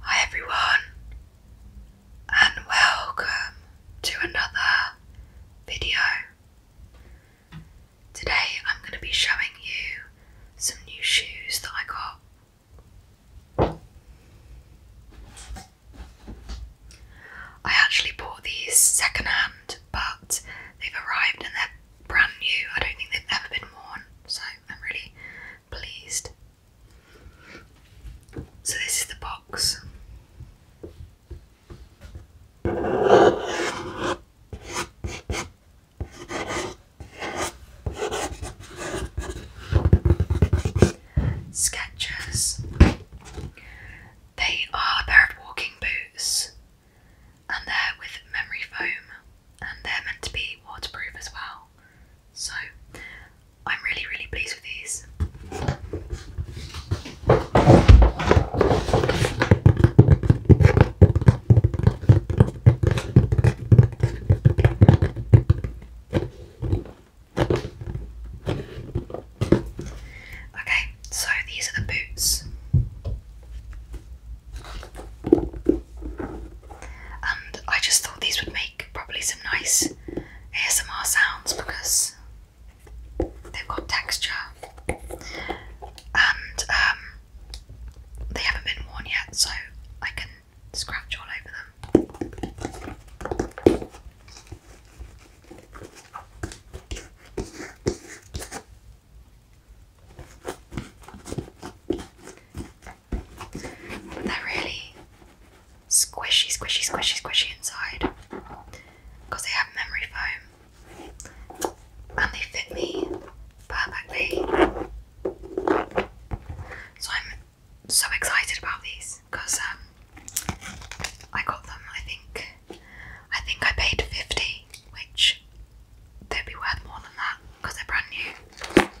Hi everyone, and welcome to another video. Today I'm going to be showing you some new shoes that I got. I actually bought these secondhand, but they've arrived and they're brand new. I don't think they've ever been worn, so I'm really pleased. So, this is the box. Skechers. They are bird walking boots and they're with memory foam and they're meant to be waterproof as well. So I'm really, really pleased with these. Okay, so these are the boots. And I just thought these would make probably some nice ASMR sounds because they've got texture and um, they haven't been worn yet, so I can scratch all over them they're really squishy, squishy, squishy, squishy inside they have memory foam and they fit me perfectly. So I'm so excited about these um, I got them, I think, I think I paid 50, which they'd be worth more than that because they're brand new.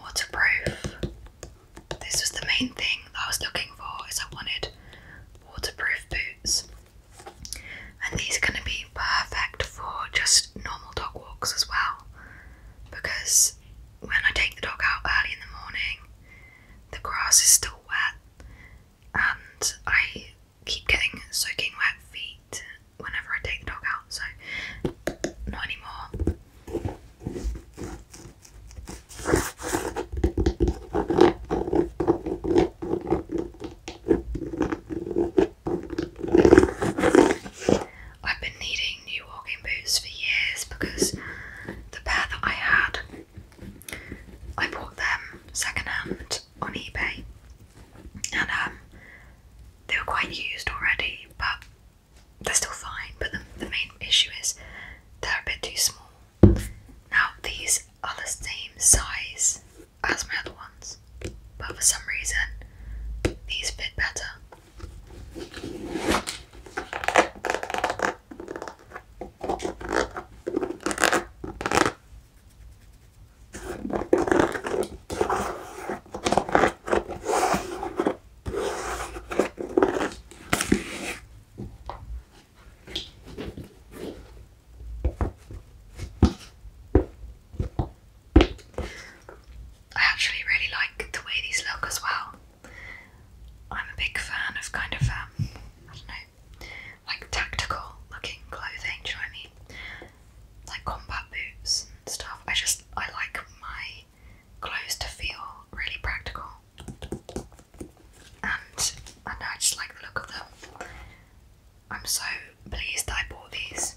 Waterproof. This was the main thing that I was looking for is I wanted waterproof boots. And these are gonna be perfect for just normal dog walks as well. Because when I take the dog out early in the morning, the grass is still wet and I keep getting soaking wet feet whenever I take the dog out, so not anymore. I've been needing new walking boots for years because the pair that I had, I bought them secondhand on eBay and um, they were quite used already, but they're still fine. But the, the main issue is they're a bit too small. Now, these are the same size as my other ones, but for some reason, these fit better. I actually really like the way these look as well. I'm a big fan of kind of um, I don't know like tactical looking clothing, do you know what I mean? Like combat boots and stuff. I just I like my clothes to feel really practical. And I just like the look of them. I'm so pleased that I bought these.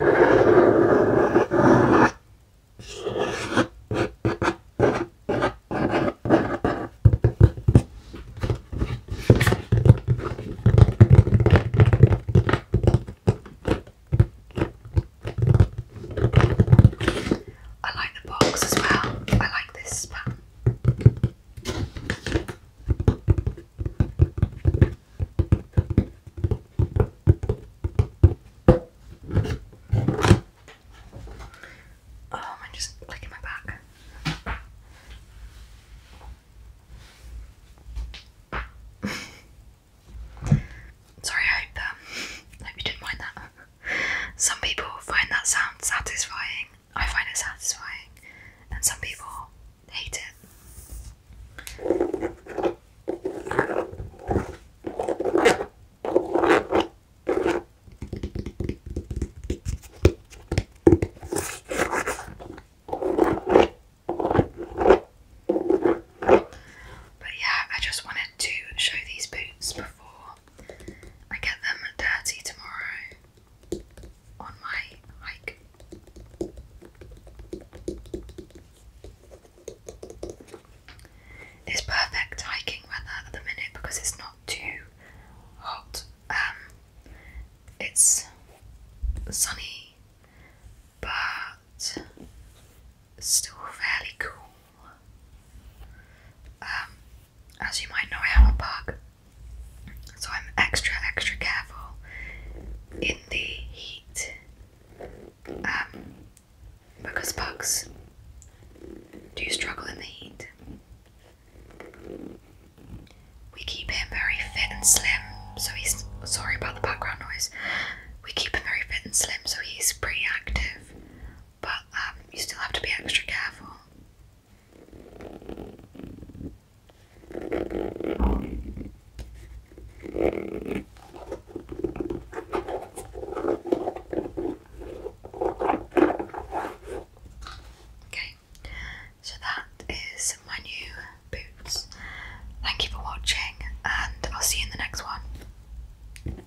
I like the box as well. I like this pattern. Oh, I'm just clicking my back. Sorry, um, I hope you didn't mind that. Some people find that sound satisfying. I find it satisfying, and some people hate But yeah, I just wanted to show these boots before I get them dirty tomorrow on my hike. It's perfect hiking weather at the minute because it's not too hot. Um, it's sunny, but still fairly cool. Um, as you might know, I have a bug, so I'm extra, extra careful in the heat um, because bugs do struggle in the heat. We keep him very fit and slim, so he's sorry about the background noise. We keep him very fit and slim, so he's pretty active, but um, you still have to be extra careful. Okay, so that is my new boots. Thank you for watching, and I'll see you in the next one.